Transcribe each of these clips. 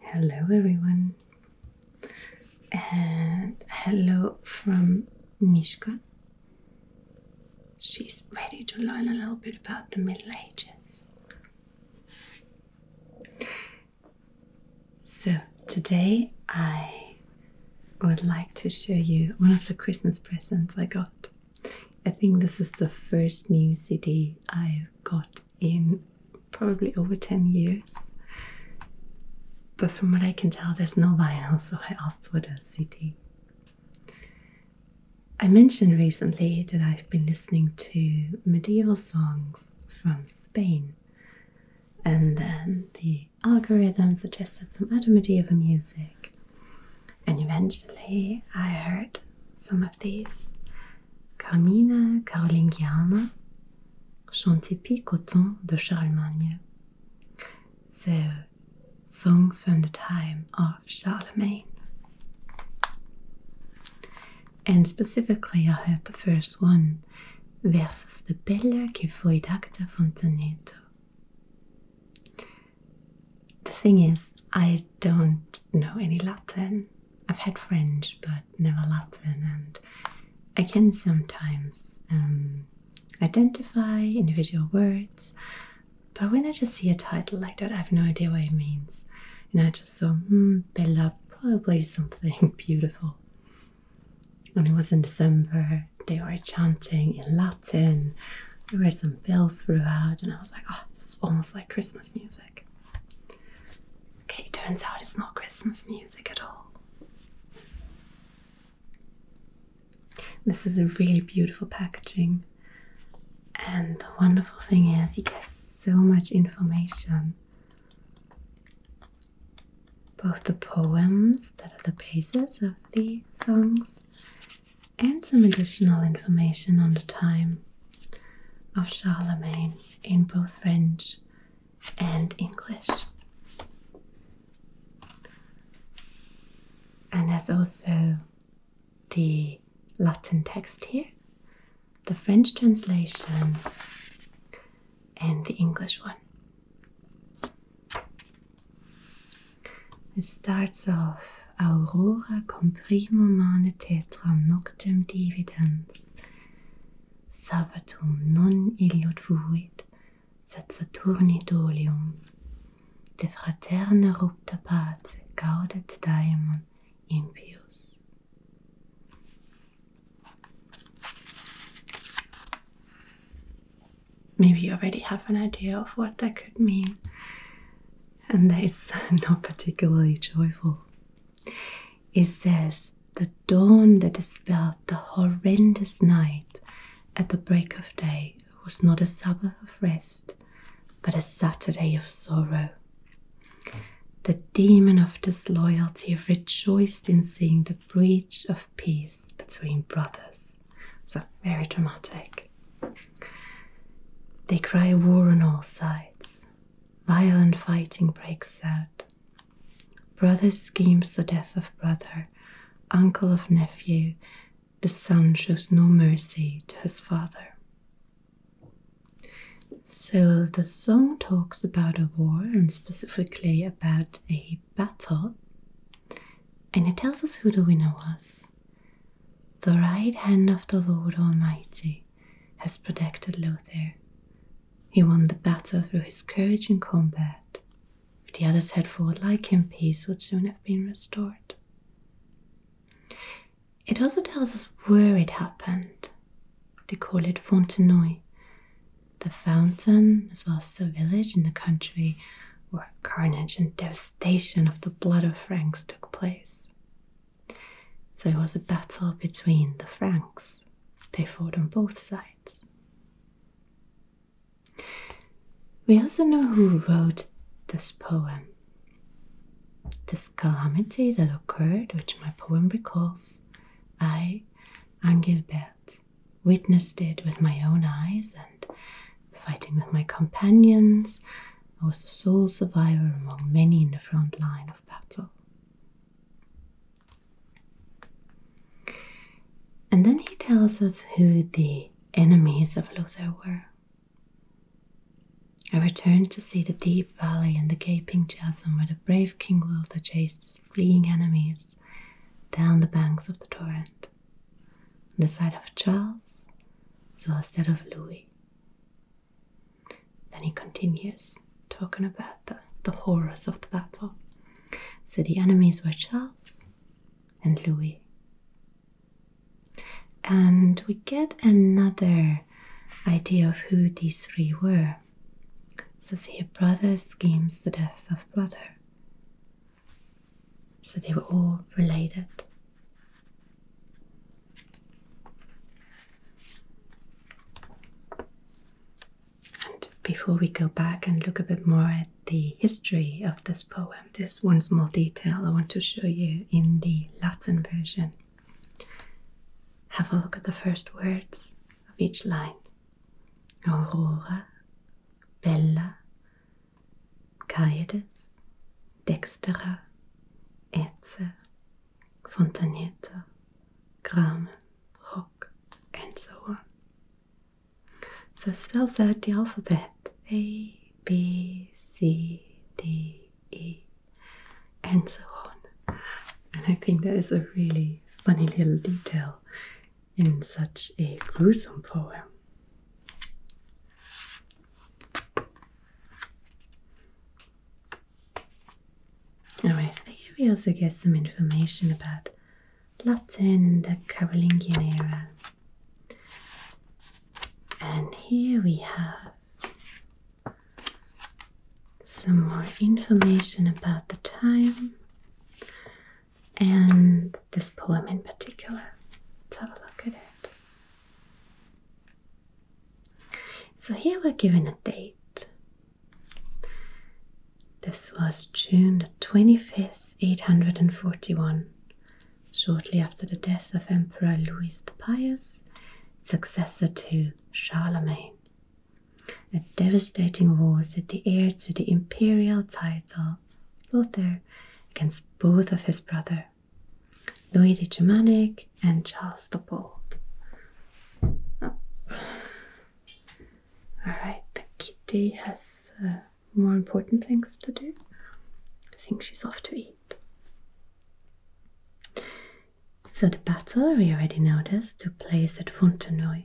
Hello, everyone, and hello from Mishka. She's ready to learn a little bit about the Middle Ages. So, today I would like to show you one of the Christmas presents I got. I think this is the first new CD I've got in probably over 10 years. But from what I can tell, there's no vinyl, so I asked for the CD. I mentioned recently that I've been listening to medieval songs from Spain, and then the algorithm suggested some other medieval music, and eventually I heard some of these, Carmina carolingiana chant typique de Charlemagne. C'est euh, Songs from the Time of Charlemagne. And specifically, I heard the first one versus the Bella que foi d'acta Fontaneto. The thing is, I don't know any Latin. I've had French but never Latin, and I can sometimes um, identify individual words, but when I just see a title like that, I have no idea what it means. And I just thought, Bella, hmm, probably something beautiful. And it was in December, they were chanting in Latin, there were some bells throughout, and I was like, oh, it's almost like Christmas music. Okay, turns out it's not Christmas music at all. This is a really beautiful packaging, and the wonderful thing is, you get so much information. Both the poems that are the basis of the songs and some additional information on the time of Charlemagne in both French and English. And there's also the Latin text here, the French translation, and the English one. It starts off aurora comprimum mane tetram noctem dividens, sabbatum non illud fuit, sed Saturni dolium, de fraterna rupta pace gaudet Maybe you already have an idea of what that could mean and that is not particularly joyful. It says, The dawn that dispelled the horrendous night at the break of day was not a Sabbath of rest, but a Saturday of sorrow. The demon of disloyalty rejoiced in seeing the breach of peace between brothers. So, very dramatic. They cry war on all sides. Violent fighting breaks out. Brother schemes the death of brother, uncle of nephew. The son shows no mercy to his father. So the song talks about a war and specifically about a battle, and it tells us who the winner was. The right hand of the Lord Almighty has protected Lothair. He won the battle through his courage in combat. If the others had fought like him, peace would soon have been restored. It also tells us where it happened. They call it Fontenoy. The fountain, as well as the village in the country where carnage and devastation of the blood of Franks took place. So it was a battle between the Franks. They fought on both sides. We also know who wrote this poem. This calamity that occurred, which my poem recalls, I, Angilbert, witnessed it with my own eyes and fighting with my companions, and was the sole survivor among many in the front line of battle. And then he tells us who the enemies of Luther were. I returned to see the deep valley and the gaping chasm where the brave King Wilder chased his fleeing enemies down the banks of the torrent, on the side of Charles as well as that of Louis, then he continues talking about the, horrors of the battle. So the enemies were Charles and Louis. And we get another idea of who these three were. It says here, brother schemes the death of brother. So they were all related before we go back and look a bit more at the history of this poem, there's one small detail I want to show you in the Latin version. Have a look at the first words of each line Aurora, Bella, Caedes, Dextera, Etze, Fontanetta, Gram, Rock, and so on. So spells out the alphabet A, B, C, D, E, and so on. And I think that is a really funny little detail in such a gruesome poem. Alright, so here we also get some information about Latin in the Carolingian era. And here we have some more information about the time and this poem in particular. Let's have a look at it. So here we're given a date. This was June the 25th, 841, shortly after the death of Emperor Louis the Pious, successor to Charlemagne. A devastating war set the heir to the imperial title, Lothair, against both of his brother Louis de Germanic and Charles de Paul. Oh. Alright, the kitty has uh, more important things to do. I think she's off to eat. So, the battle we already noticed took place at Fontenoy,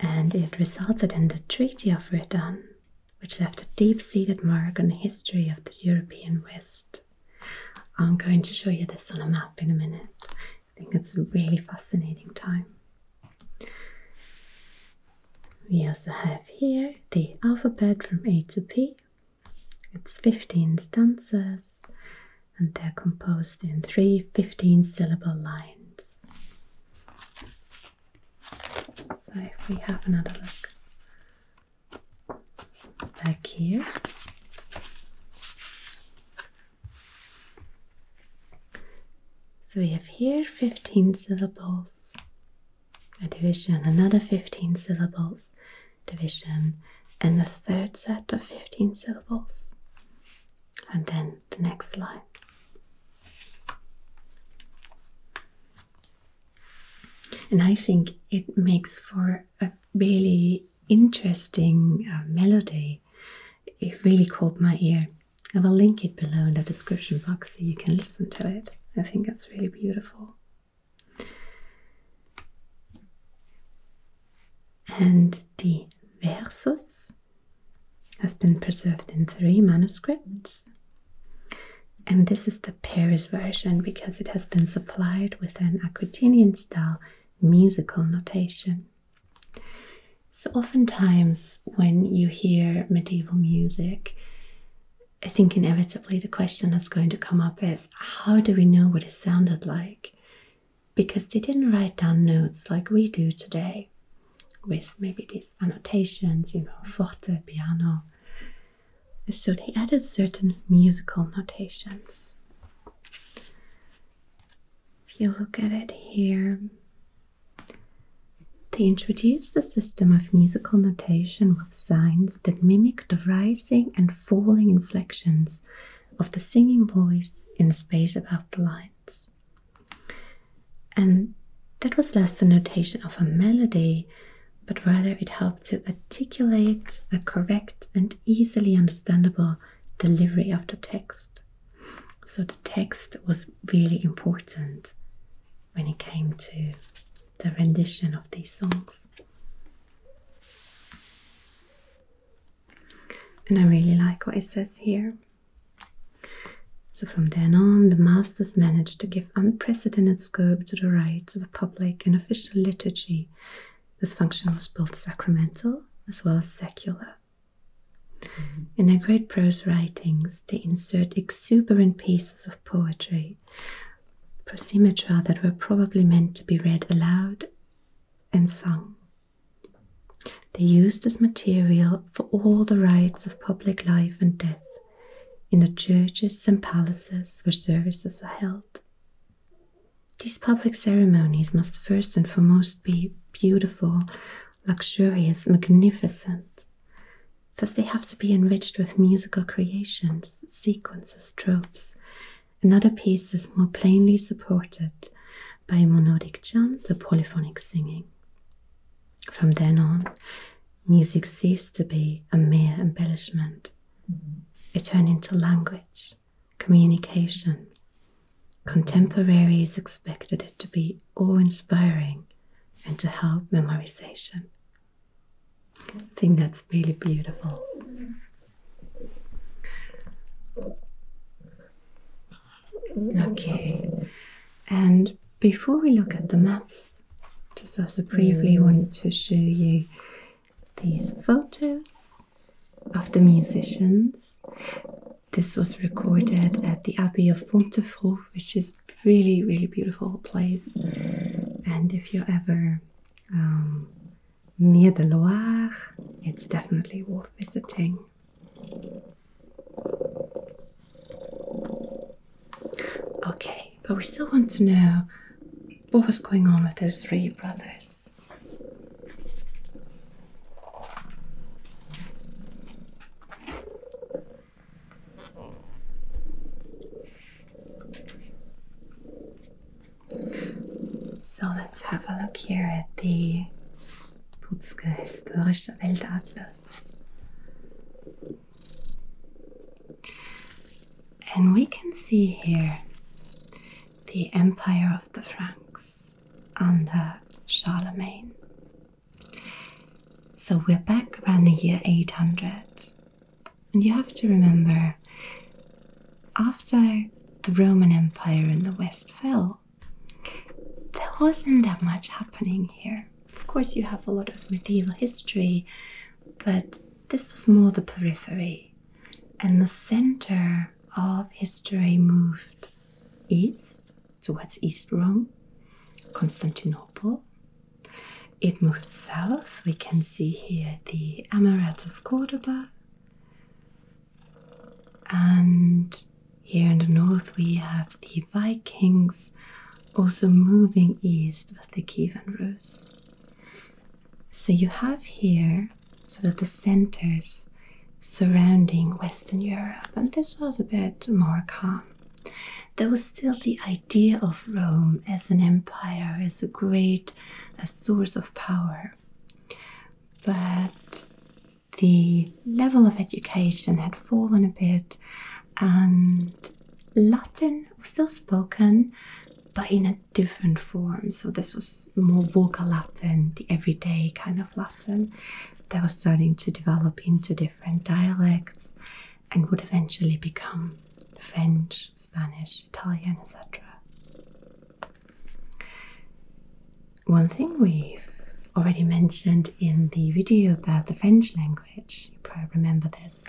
and it resulted in the Treaty of Verdun which left a deep seated mark on the history of the European West. I'm going to show you this on a map in a minute. I think it's a really fascinating time. We also have here the alphabet from A to P. It's 15 stanzas and they're composed in three 15 syllable lines. So if we have another look back here. So we have here 15 syllables, a division, another 15 syllables, division, and the third set of 15 syllables. And then the next line. And I think it makes for a really interesting uh, melody. It really caught my ear. I will link it below in the description box so you can listen to it. I think that's really beautiful. And the verses has been preserved in three manuscripts. And this is the Paris version because it has been supplied with an Aquitanian style musical notation. So, oftentimes, when you hear medieval music, I think inevitably the question is going to come up is how do we know what it sounded like? Because they didn't write down notes like we do today with maybe these annotations, you know, forte, piano. So they added certain musical notations. If you look at it here, they introduced a system of musical notation with signs that mimic the rising and falling inflections of the singing voice in the space above the line. And that was less the notation of a melody, but rather it helped to articulate a correct and easily understandable delivery of the text. So the text was really important when it came to the rendition of these songs. And I really like what it says here. So from then on, the masters managed to give unprecedented scope to the rites of public and official liturgy. whose function was both sacramental as well as secular. Mm-hmm. In their great prose writings, they insert exuberant pieces of poetry, prosimetra that were probably meant to be read aloud and sung. They used as material for all the rites of public life and death in the churches and palaces where services are held. These public ceremonies must first and foremost be beautiful, luxurious, magnificent. Thus, they have to be enriched with musical creations, sequences, tropes, and other pieces more plainly supported by monodic chant or polyphonic singing. From then on, music ceased to be a mere embellishment. Mm-hmm. It turned into language, communication. Contemporaries expected it to be awe inspiring and to help memorization. I think that's really beautiful. Mm-hmm. Okay, and before we look at the maps, just also briefly mm. want to show you these photos of the musicians. This was recorded at the Abbey of Fontevraud, which is really, really beautiful place. And if you're ever um, near the Loire, it's definitely worth visiting. Okay, but we still want to know what was going on with those three brothers. So let's have a look here at the Putzke Historische Weltadler. And we can see here the empire of the Franks under Charlemagne. So we're back around the year 800. And you have to remember, after the Roman Empire in the West fell, there wasn't that much happening here. Of course, you have a lot of medieval history, but this was more the periphery, and the center of history moved east towards East Rome, Constantinople. It moved south. We can see here the Emirate of Cordoba. And here in the north, we have the Vikings also moving east with the Kievan Rus. So you have here sort of the centers surrounding Western Europe, and this was a bit more calm. There was still the idea of Rome as an empire, as a great source of power. But the level of education had fallen a bit, and Latin was still spoken, but in a different form. So this was more vocal Latin, the everyday kind of Latin that was starting to develop into different dialects and would eventually become French, Spanish, Italian, etc. One thing we've already mentioned in the video about the French language, you probably remember this,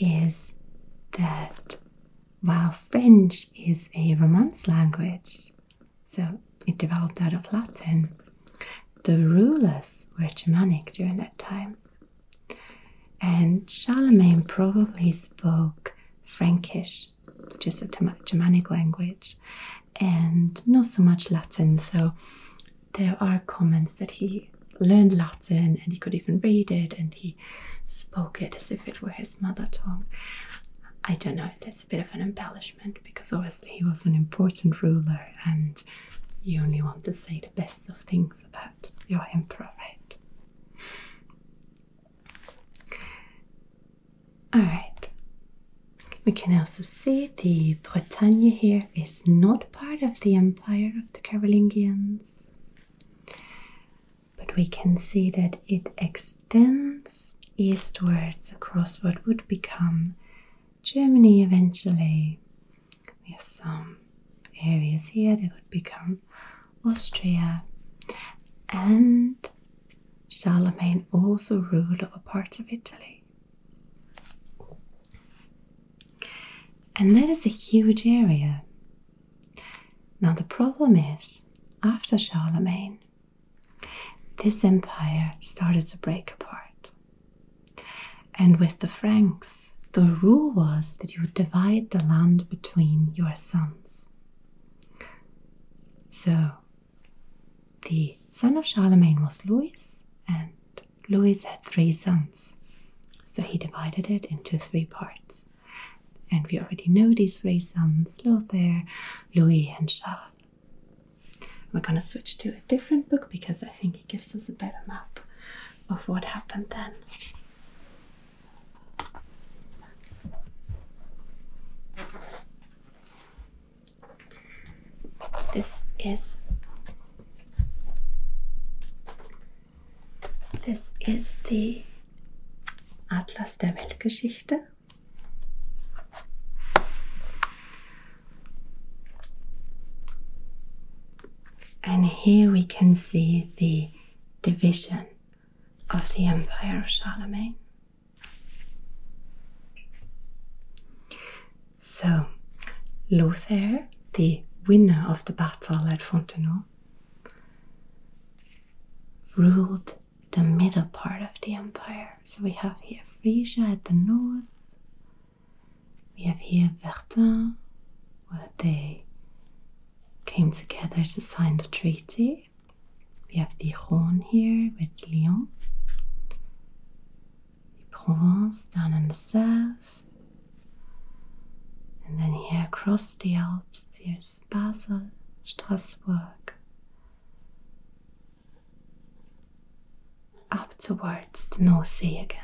is that while French is a Romance language, so it developed out of Latin, the rulers were Germanic during that time. And Charlemagne probably spoke Frankish just a Germanic language, and not so much Latin. So there are comments that he learned Latin and he could even read it and he spoke it as if it were his mother tongue. I don't know if that's a bit of an embellishment because obviously he was an important ruler and you only want to say the best of things about your emperor, right? Alright, we can also see the Bretagne here is not part of the empire of the Carolingians, but we can see that it extends eastwards across what would become Germany eventually. We have some areas here that would become Austria. And Charlemagne also ruled over parts of Italy. And that is a huge area. Now, the problem is, after Charlemagne, this empire started to break apart. And with the Franks, the rule was that you would divide the land between your sons. So, the son of Charlemagne was Louis, and Louis had three sons, so he divided it into three parts. And we already know these three sons Lothair, Louis, and Charles. We're going to switch to a different book because I think it gives us a better map of what happened then. This is This is the Atlas der Weltgeschichte. And here we can see the division of the Empire of Charlemagne. So, Lothair, the winner of the battle at Fontenoy, ruled the middle part of the empire. So we have here Frisia at the north, we have here Verdun, where they came together to sign the treaty we have the Dijon here with Lyon, Provence down in the south, and then here across the Alps, here's Basel, Strasbourg, up towards the North Sea again.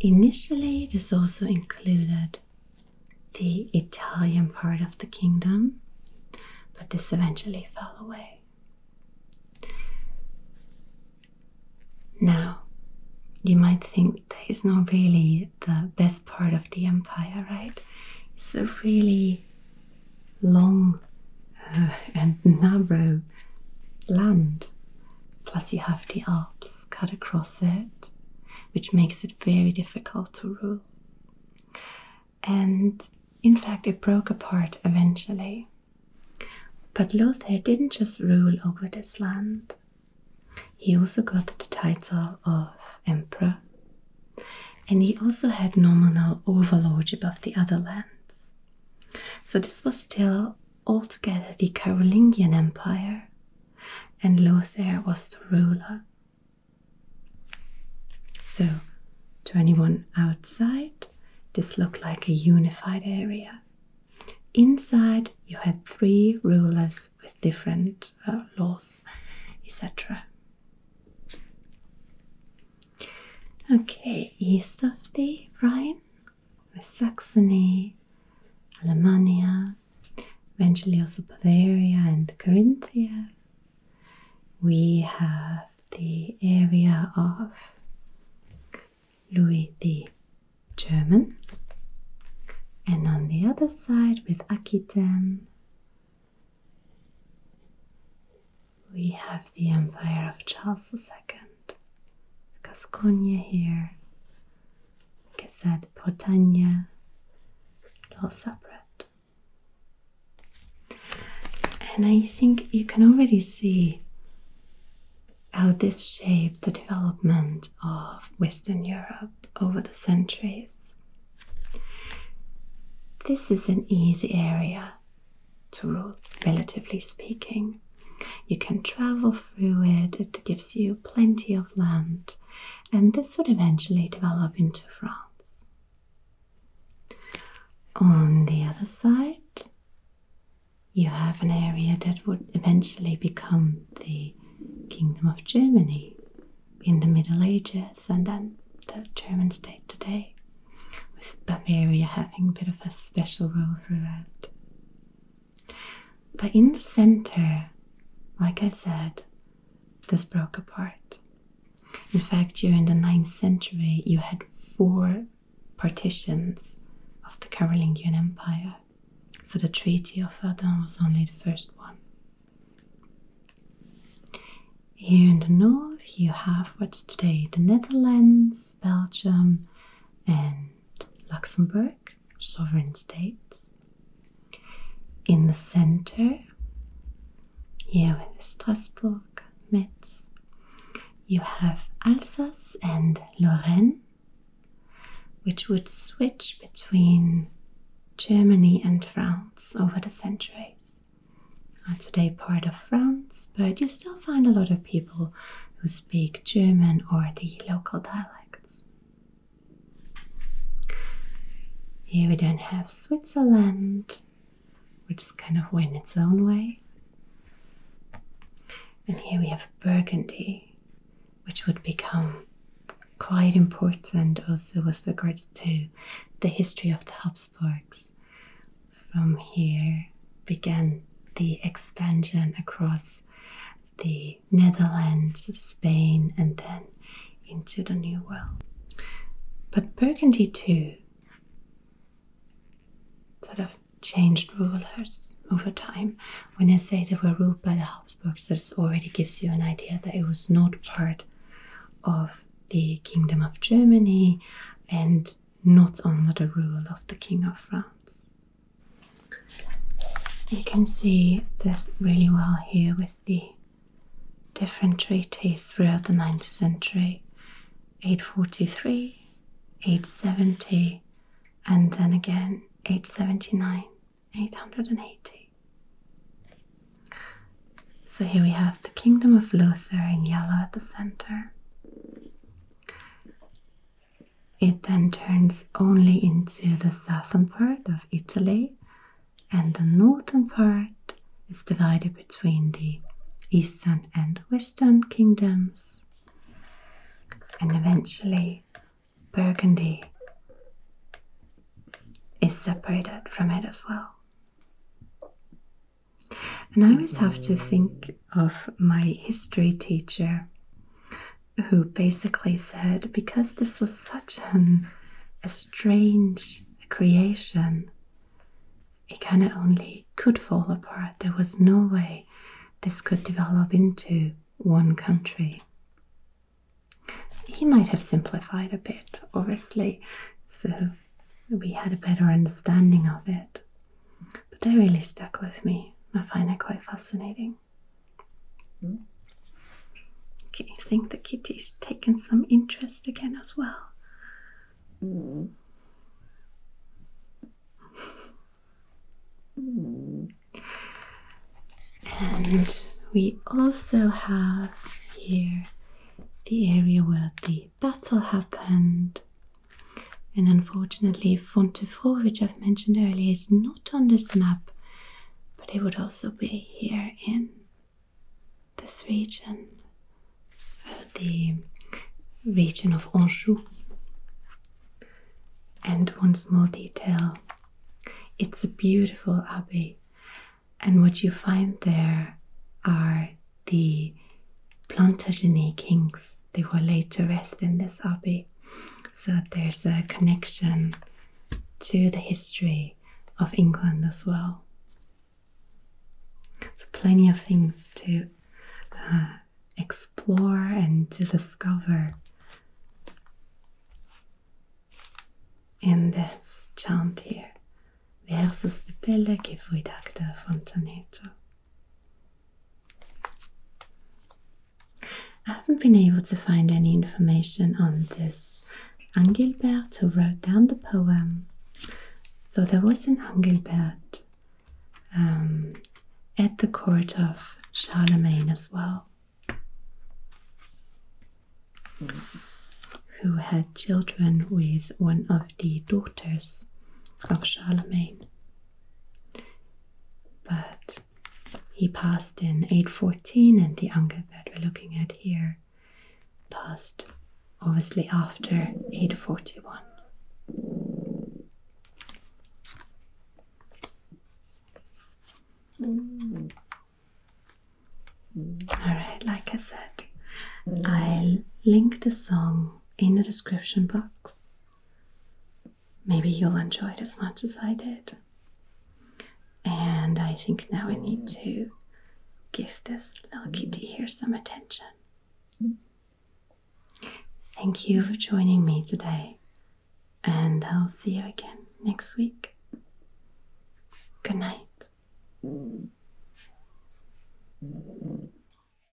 Initially, this is also included the Italian part of the kingdom, but this eventually fell away. Now, you might think that is not really the best part of the empire, right? It's a really long uh, and narrow land, plus, you have the Alps cut across it, which makes it very difficult to rule. And in fact, it broke apart eventually. But Lothair didn't just rule over this land, he also got the title of emperor. And he also had nominal overlordship of the other lands. So this was still altogether the Carolingian Empire, and Lothair was the ruler. So, to anyone outside, this looked like a unified area. Inside, you had three rulers with different uh, laws, etc. Okay, east of the Rhine with Saxony, Alemannia, eventually also Bavaria and Carinthia. We have the area of Louis the German, and on the other side with Aquitaine, we have the empire of Charles II, Gascogne here, like I said, Portania, a little separate. And I think you can already see how this shaped the development of Western Europe over the centuries. This is an easy area to rule, relatively speaking. You can travel through it, it gives you plenty of land, and this would eventually develop into France. On the other side, you have an area that would eventually become the Kingdom of Germany in the Middle Ages and then the German state today, with Bavaria having a bit of a special role throughout. But in the center, like I said, this broke apart. In fact, during the 9th century, you had four partitions of the Carolingian Empire. So the Treaty of Verdun was only the first one. Here in the north, you have what's today the Netherlands, Belgium, and Luxembourg sovereign states. In the center, here with Strasbourg, Metz, you have Alsace and Lorraine, which would switch between Germany and France over the centuries. Are today part of France, but you still find a lot of people who speak German or the local dialect. Here we then have Switzerland, which is kind of went its own way. And here we have Burgundy, which would become quite important also with regards to the history of the Habsburgs. From here began the expansion across the Netherlands, Spain, and then into the New World. But Burgundy too sort of changed rulers over time. When I say they were ruled by the Habsburgs, this already gives you an idea that it was not part of the Kingdom of Germany and not under the rule of the King of France. You can see this really well here with the different treaties throughout the 9th century 843, 870, and then again 879, 880. So here we have the Kingdom of Luther in yellow at the center. It then turns only into the southern part of Italy, and the northern part is divided between the eastern and western kingdoms, and eventually Burgundy is separated from it as well. And I always have to think of my history teacher who basically said because this was such a strange creation it kind of only could fall apart there was no way this could develop into one country he might have simplified a bit obviously so we had a better understanding of it but they really stuck with me. I find it quite fascinating. Mm. Okay, I think the kitty's taken some interest again as well. Hmm. And we also have here the area where the battle happened and unfortunately, Fontefroid, which I've mentioned earlier, is not on this map, but it would also be here in this region, the region of Anjou. And one small detail it's a beautiful abbey, and what you find there are the Plantagenet kings they were laid to rest in this abbey. So there's a connection to the history of England as well. So plenty of things to uh, explore and to discover in this chant here. Versus the pelle che voi dacta fontanetto. I haven't been able to find any information on this Angilbert who wrote down the poem, though there was an Angilbert um, at the court of Charlemagne as well, who had children with one of the daughters of Charlemagne. But he passed in 814, and the Angad that we're looking at here passed obviously after 841. All right, like I said, I'll link the song in the description box Maybe you'll enjoy it as much as I did. And I think now we need mm. to give this little mm. kitty here some attention. Thank you for joining me today, and I'll see you again next week. Good night. Mm.